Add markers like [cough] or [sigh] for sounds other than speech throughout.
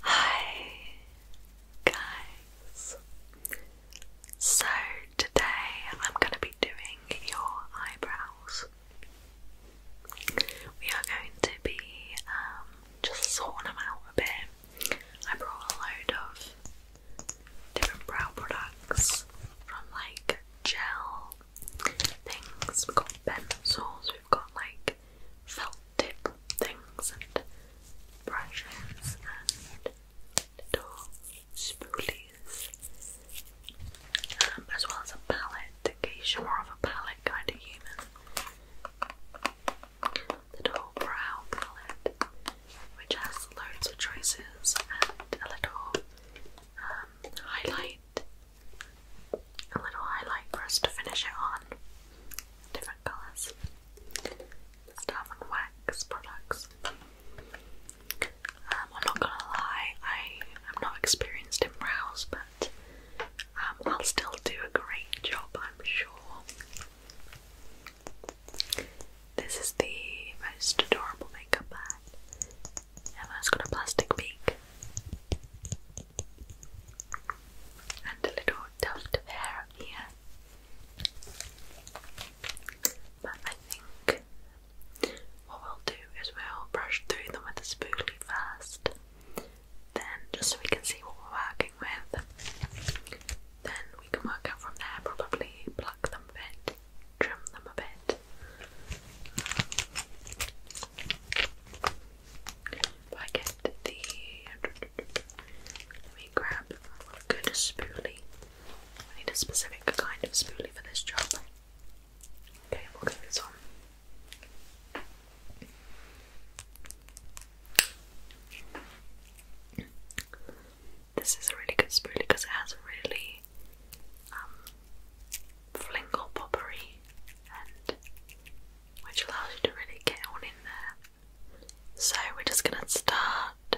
Hi guys. So today I'm going to be doing your eyebrows. We are going to be um, just sorting them out a bit. I brought a load of different brow products from like gel things. we got pencils, we've got like felt tip things and brushes and little spoolies. Um, as well as a palette, in case you're more of a palette kind of human. Little brow palette, which has loads of choices and a little um, highlight, a little highlight for us to finish it on different colours. Diamond wax products. Um, I'm not gonna lie, I am not experienced in brows, but um, I'll still do a great job, I'm sure. This is the most adorable makeup bag. Emma's got a plastic beak and a little tuft of hair up here. But I think what we'll do is we'll brush through them with a spoolie first, then just so we can see what we're working with. Then we can work out from there, probably pluck them a bit, trim them a bit. I get the let me grab a spoolie. I need a specific kind of spoolie for this job. Okay, we'll get this on. This is a really good spoolie because it has a really um, poppery end, which allows you to really get on in there so we're just gonna start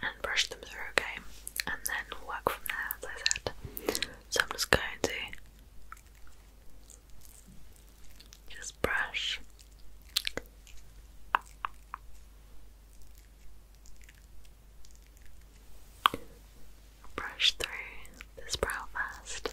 and brush them through, okay? And then work from there, as I said. So I'm just going to just brush. Brush through this brow first.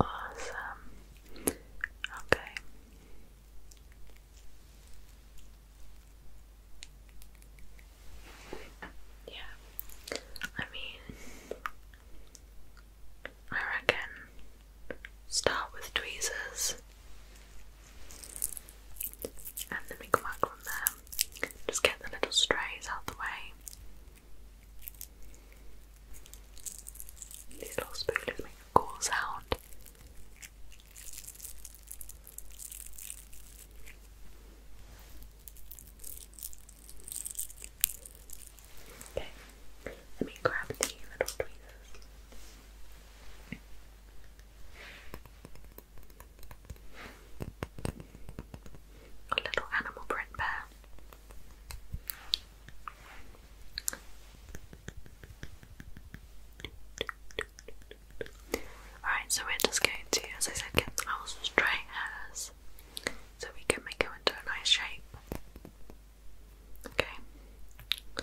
Awesome. Okay. Yeah. I mean, I reckon start with tweezers and then we come back from there, just get the little strays out the way. These little spoolers make a cool sound. Okay, let me grab the little tweezers. A little animal print bear. Alright, so we're just going to, as I said, get our straight hairs so we can make it into a nice shape. Okay.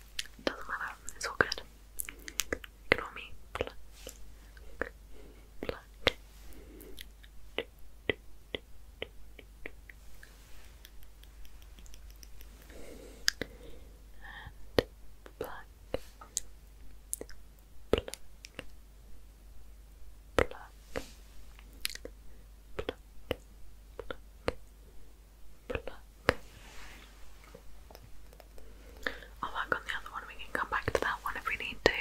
doesn't matter, it's all good. Ignore me. Pluck. Pluck. And pluck. Pluck. Pluck. Pluck. I'll work on the other one. We can come back to that one if we need to.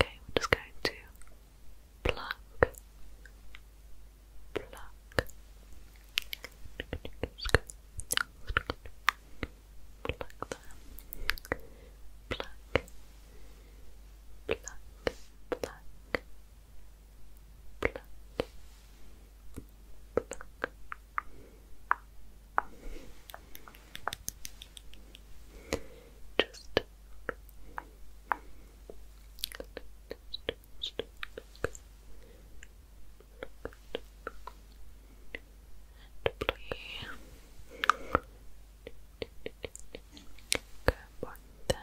Okay, we're just going to pluck, pluck, pluck there, pluck, pluck, Pluck. Pluck. Just and play. Good one there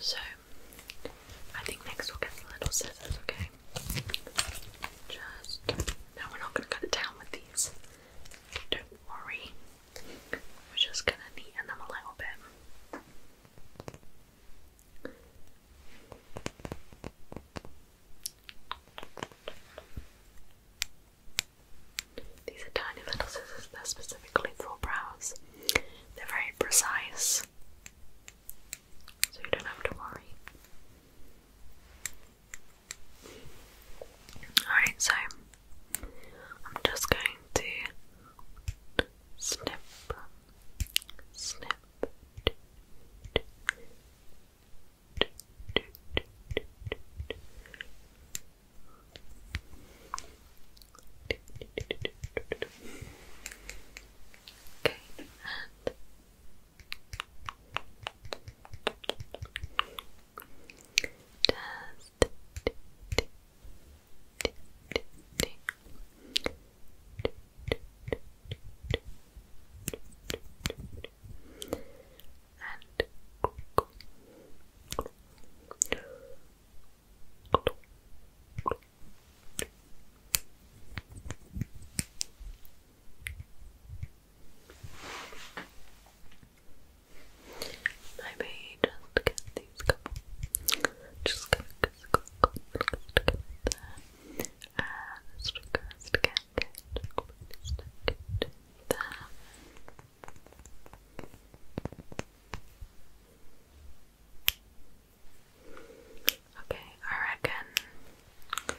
So, I think next we'll get the little scissors, okay? Just. No, we're not going to cut it down with these. Don't worry. We're just going to neaten them a little bit. These are tiny little scissors, they're specifically for brows. They're very precise, so you don't have to worry. Alright, so I'm just going to snip, snip. Okay, and just and Maybe just get these couple. Just gonna stick it there. And stick it, stick it, stick it, stick it there. Okay, I reckon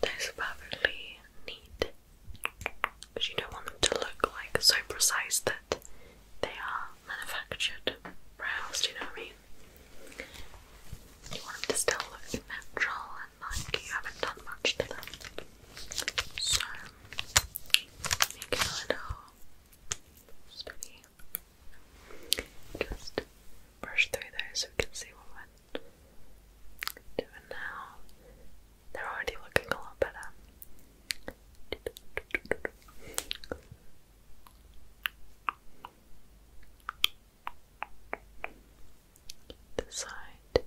that's perfectly neat. But you don't want them to look like so precise that they are manufactured brows, do you know what I mean? You want them to still look natural and like you haven't done much to them. So make it a little Just brush through there so we can see what we're now. They're already looking a lot better. This side.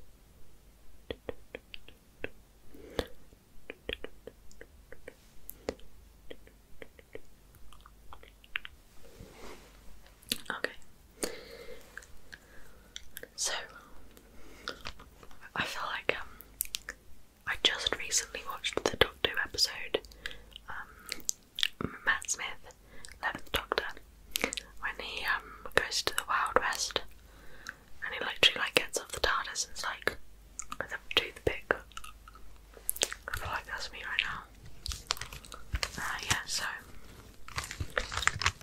Okay. So I feel like um I just recently watched the Doctor episode, um Matt Smith, Eleventh Doctor, when he um goes to the Wild West and he literally like gets off the TARDIS and's like with a toothpick. I feel like that's me right now. Uh, yeah, so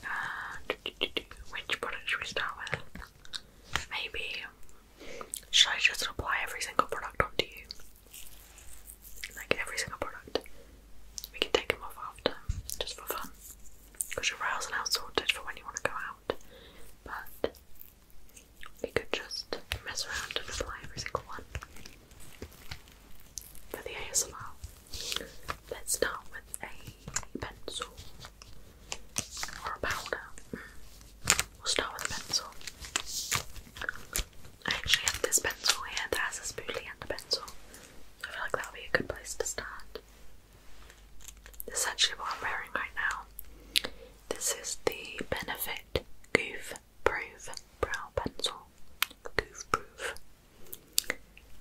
uh, which product should we start with? Maybe should I just apply every single product onto you? Like every single product. We can take them off after, just for fun. Because your rails are now sorted for when you want to go out but we could just mess around and apply every single one for the ASMR. Let's start with a pencil or a powder. We'll start with a pencil. I actually have this pencil here that has a spoolie and a pencil. I feel like that would be a good place to start. This is actually what I'm wearing right now. This is the Benefit Goof Proof Brow Pencil. Goof Proof.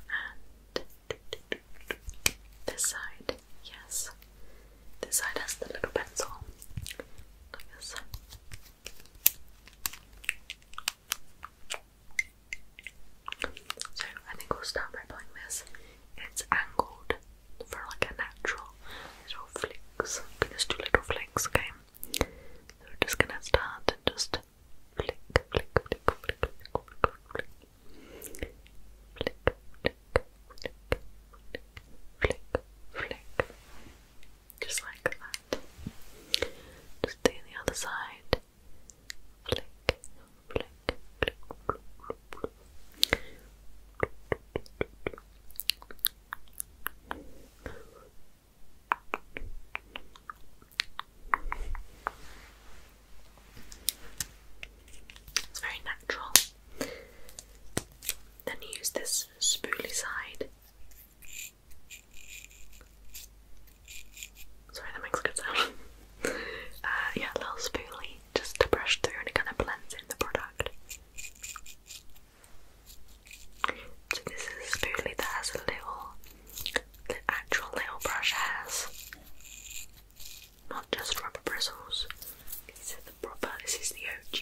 And this side, yes. This side has the little pencil. So I think we'll start by applying this. It's angled for like a natural little flicks. You can just do little flicks, okay? So we're just gonna start and just flick, flick, flick, flick, flick, flick, flick, flick, flick, flick, flick, flick, just like that. Just do the other side. Flick, Blink, blink, blink, blink, It's very natural. Then use this spooly side. Sorry, that makes a good sound. [laughs] Uh, yeah, a little spoolie just to brush through and kind of blends in the product. So this is a spoolie that has a little, the actual little brush has, not just rubber bristles. These are the proper. This is the OG.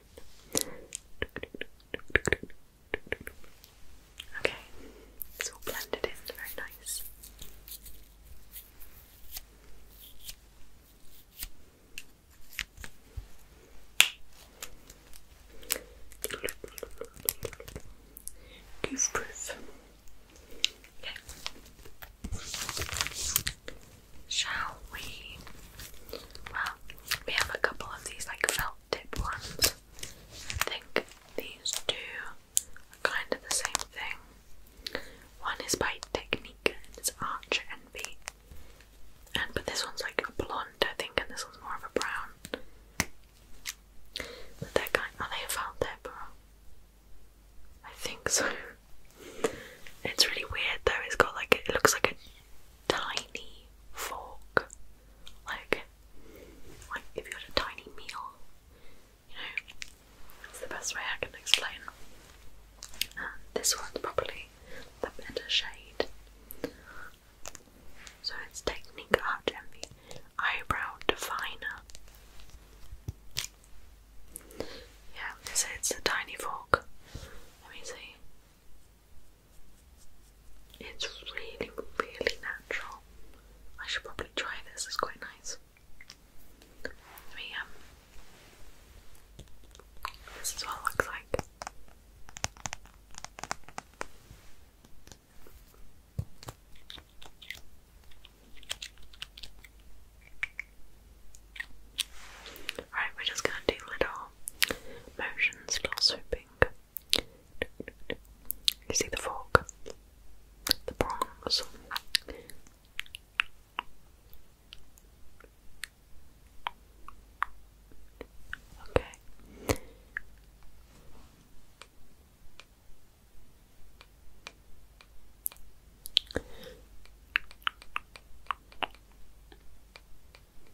Okay, it's all blended in, very nice. Goof Okay. Shall we? Well, we have a couple of these like felt tip ones. I think these do are kind of the same thing. One is by Technique, it's Arch Envy. And but this one's like a blonde, I think, and this one's more of a brown. But they're kind are they felt tip I think so. [laughs] It's really weird though, it's got like it looks like a tiny fork. Like, like if you had a tiny meal, you know, that's the best way I can explain. this one's probably the better shade. So it's Technique Art Envy Eyebrow Definer. Yeah, so it's a tiny fork. Let me see. It's really, really natural. I should probably try this, it's quite nice. Um, this is what it looks like. Alright, we're just gonna do little motions, little swooping. You see the fork, the prongs. Okay.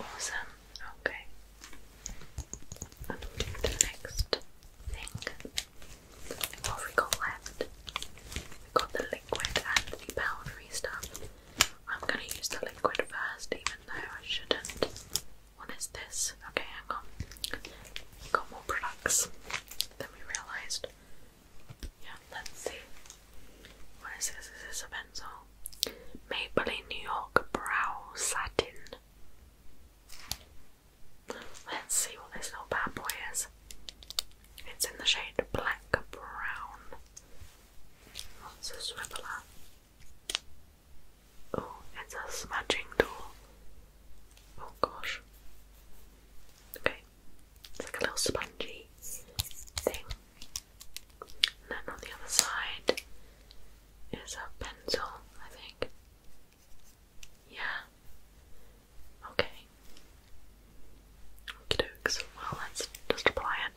Awesome. Okay. i the next thing. What have got left? We've got the liquid and the powdery stuff. I'm gonna use the liquid first, even though I shouldn't. What is this? Okay, hang on. We've got more products. Then we realized, yeah, let's see. What is this? Is a pencil? Maybelline New York Brow Satin. Let's see what this little bad boy is. It's in the shade black brown. What's a swiveler? Oh, it's a smudging tool. Oh gosh. Okay. It's like a little spongy thing. And then on the other side is a pencil, I think. Yeah. Okay. Well, let's just apply it.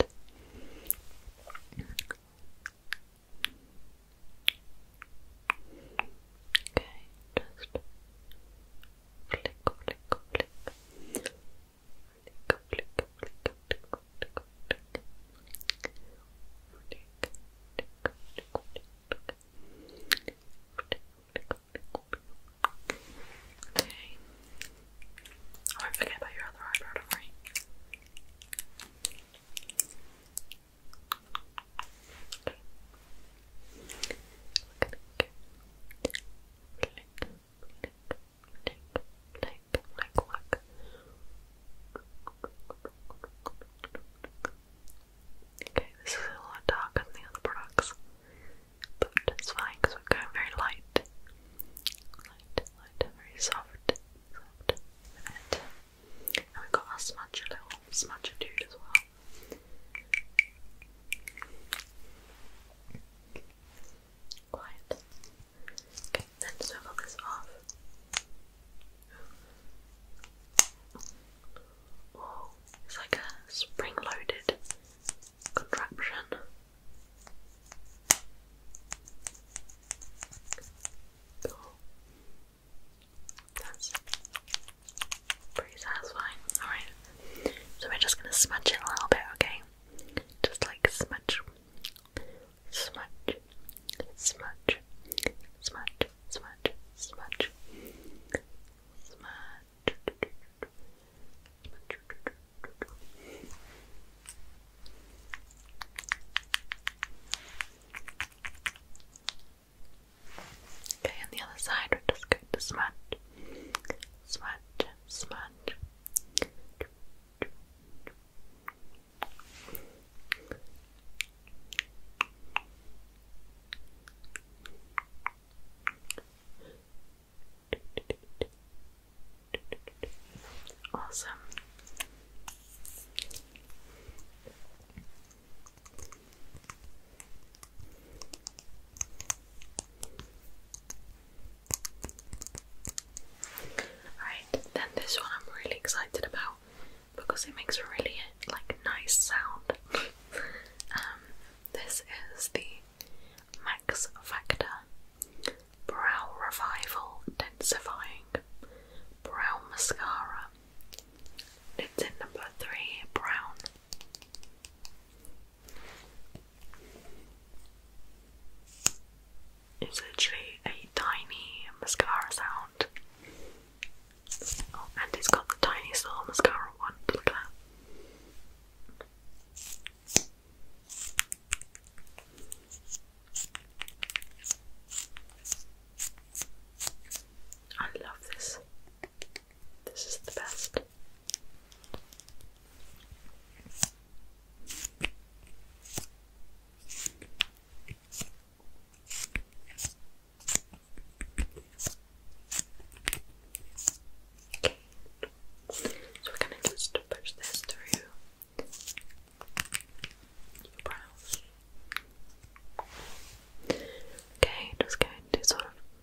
Okay, just flick, flick, flick, flick, flick, flick, flick, flick, Okay. I won't forget about your other eyebrow, don't worry. Okay. Click, this is a lot darker than the other products, but it's fine because very light. Light, light, very soft, soft. And we've got our smudger little smudger dude as well. Quiet. Okay, then swivel this off. Oh, it's like a spring loaded contraption. Cool. That's pretty satisfying. Alright, so we're just gonna smudge it a little bit, okay? Just like smudge, smudge, smudge, smudge, smudge, smudge, smudge. Okay, on the other side, we're just going to smudge, smudge, smudge. Awesome. Alright, then this one I'm really excited about because it makes a really like nice sound. [laughs] Um, this is the Max Factor Brow Revival Densifying Brow Mascara. It's in number three brown. It's literally a tiny mascara sound. Oh, and it's got the tiniest little mascara one. Look at that. I love this. This is the best. So we're gonna just push this through your brows. Okay, just going to sort of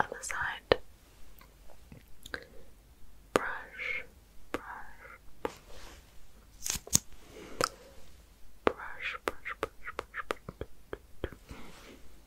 Other side. Brush, brush, brush, brush, brush, brush, brush.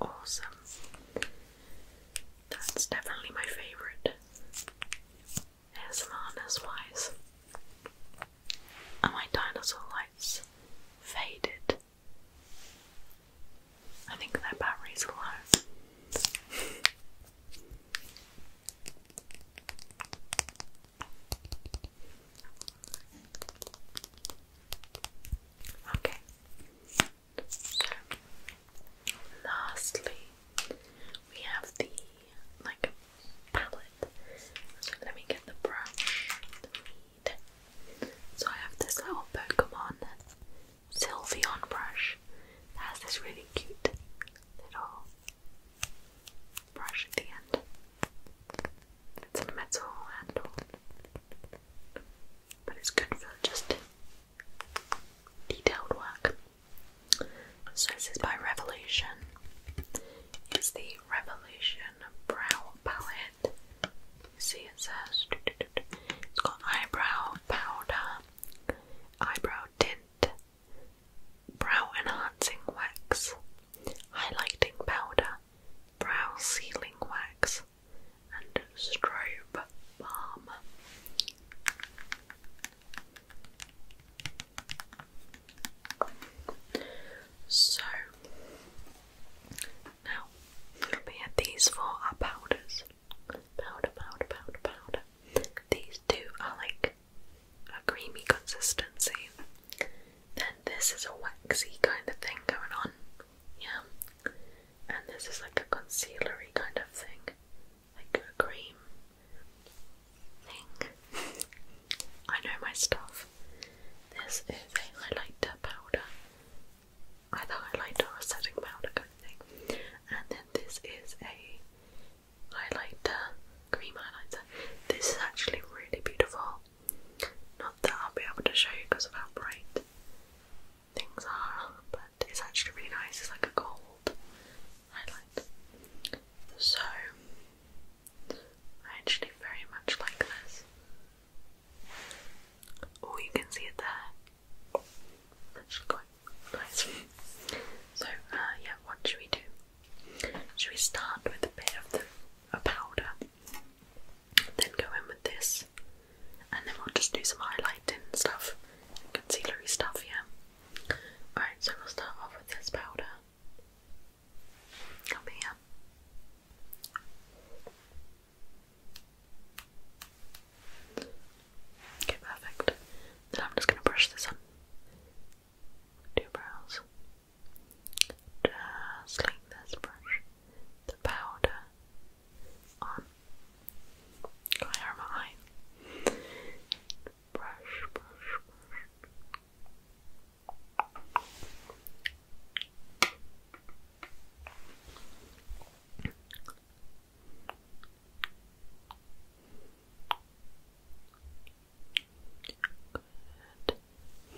Awesome. That's definitely my favourite. ASMRness wise. And my dinosaur lights faded. I think their batteries are low. Okay. So lastly we have the like palette. So let me get the brush So I have this little Pokemon Sylveon brush that has this really cute little brush at the end. It's a metal handle, but it's good for just detailed work. So this is by Revolution. It's the Revolution Brow Palette. see it says it's got eyebrow powder, eyebrow tint, brow enhancing wax, highlighting powder, brow sealing wax and strobe balm. So now we had these four are powders. Powder, powder, powder, powder. These two are like a creamy consistency then this is a waxy kind of thing going on, yeah. And this is like a concealery kind of thing, like a cream thing. I know my stuff. This is a highlighter powder, either highlighter or setting powder kind of thing. And then this is a highlighter, cream highlighter. This is actually really beautiful. Not that I'll be able to show you because of how bright things are, but it's actually really nice. It's like a gold highlight. So, I actually very much like this. Oh, you can see it there. That's quite nice. So, uh, yeah, what should we do? Should we start with a bit of the a powder? Then go in with this, and then we'll just do some highlighting stuff, concealery stuff, yeah. Alright, so we'll start off with this powder. Up here. Okay, perfect. Then I'm just going to brush this on. Two brows. Just like this, brush the powder on. Go my eye. Brush, brush, brush. Good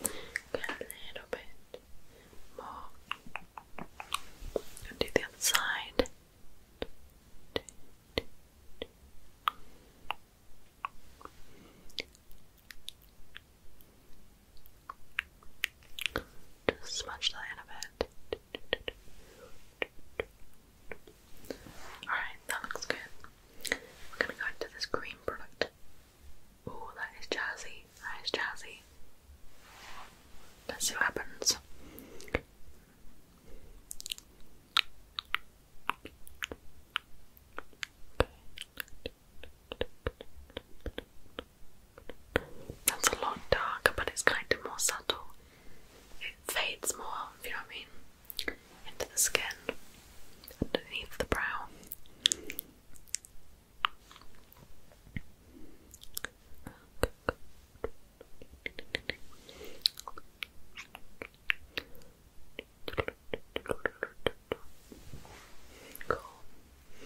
a little bit more. do the other side. Just smudge that in a bit. Alright, that looks good. We're gonna go into this green product Oh, that is jazzy. That is jazzy. Let's see what happens. That's a lot darker, but it's kind of more subtle. It fades more, you know what I mean, into the skin, underneath the brow. Cool.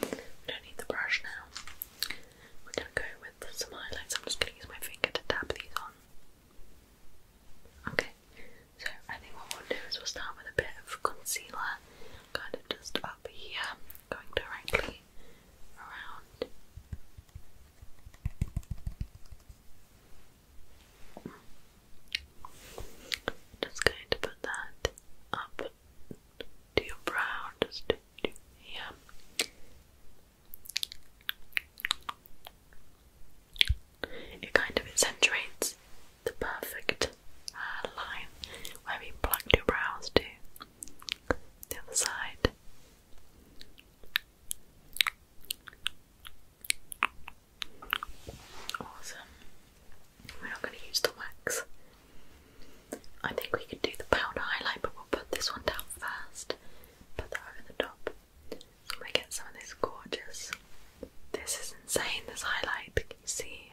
We don't need the brush now. We're gonna go with some highlights. I'm just gonna use my finger to tap these on. Okay. So I think what we'll do is we'll start with a bit of concealer kind of just up here, going directly around. Just going to put that up to your brow, just here. It kind of accentuates the perfect uh, line where we plucked your brows to the other side. Awesome. We're not going to use the wax. I think we could do the powder highlight, but we'll put this one down first. Put that over the top. So we get some of this gorgeous. This is insane, this highlight. Can you see?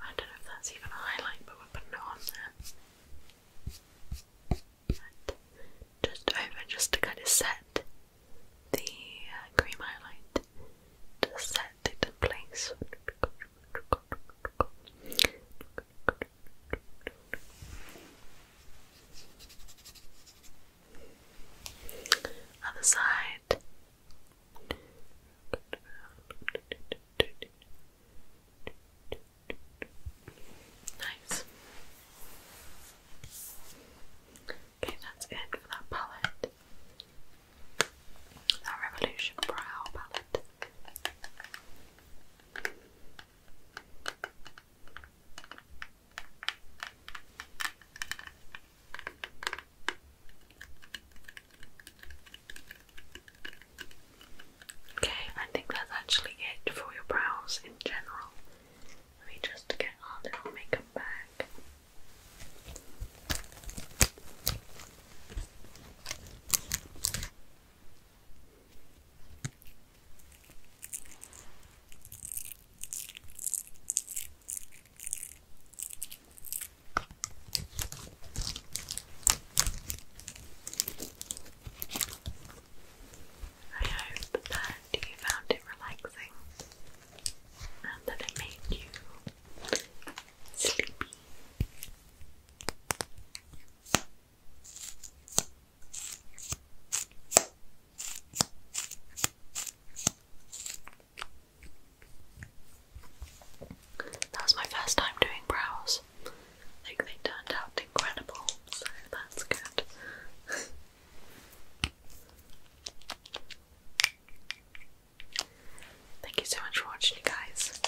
I don't know if that's even a highlight, but we're putting it on there. just over, just to kind of set the uh, cream highlight, to set it in place. Other side. Nice. Okay, that's it for that palette. That Revolution Brow palette. Okay, I think that's actually it for your brows in general. Let me just get our little makeup bag. I hope that you found it relaxing and that it made you sleepy. That was my first time doing brows, like they turned out incredible, so that's good. [laughs] Thank you so much for watching, you guys.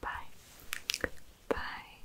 Bye. Bye.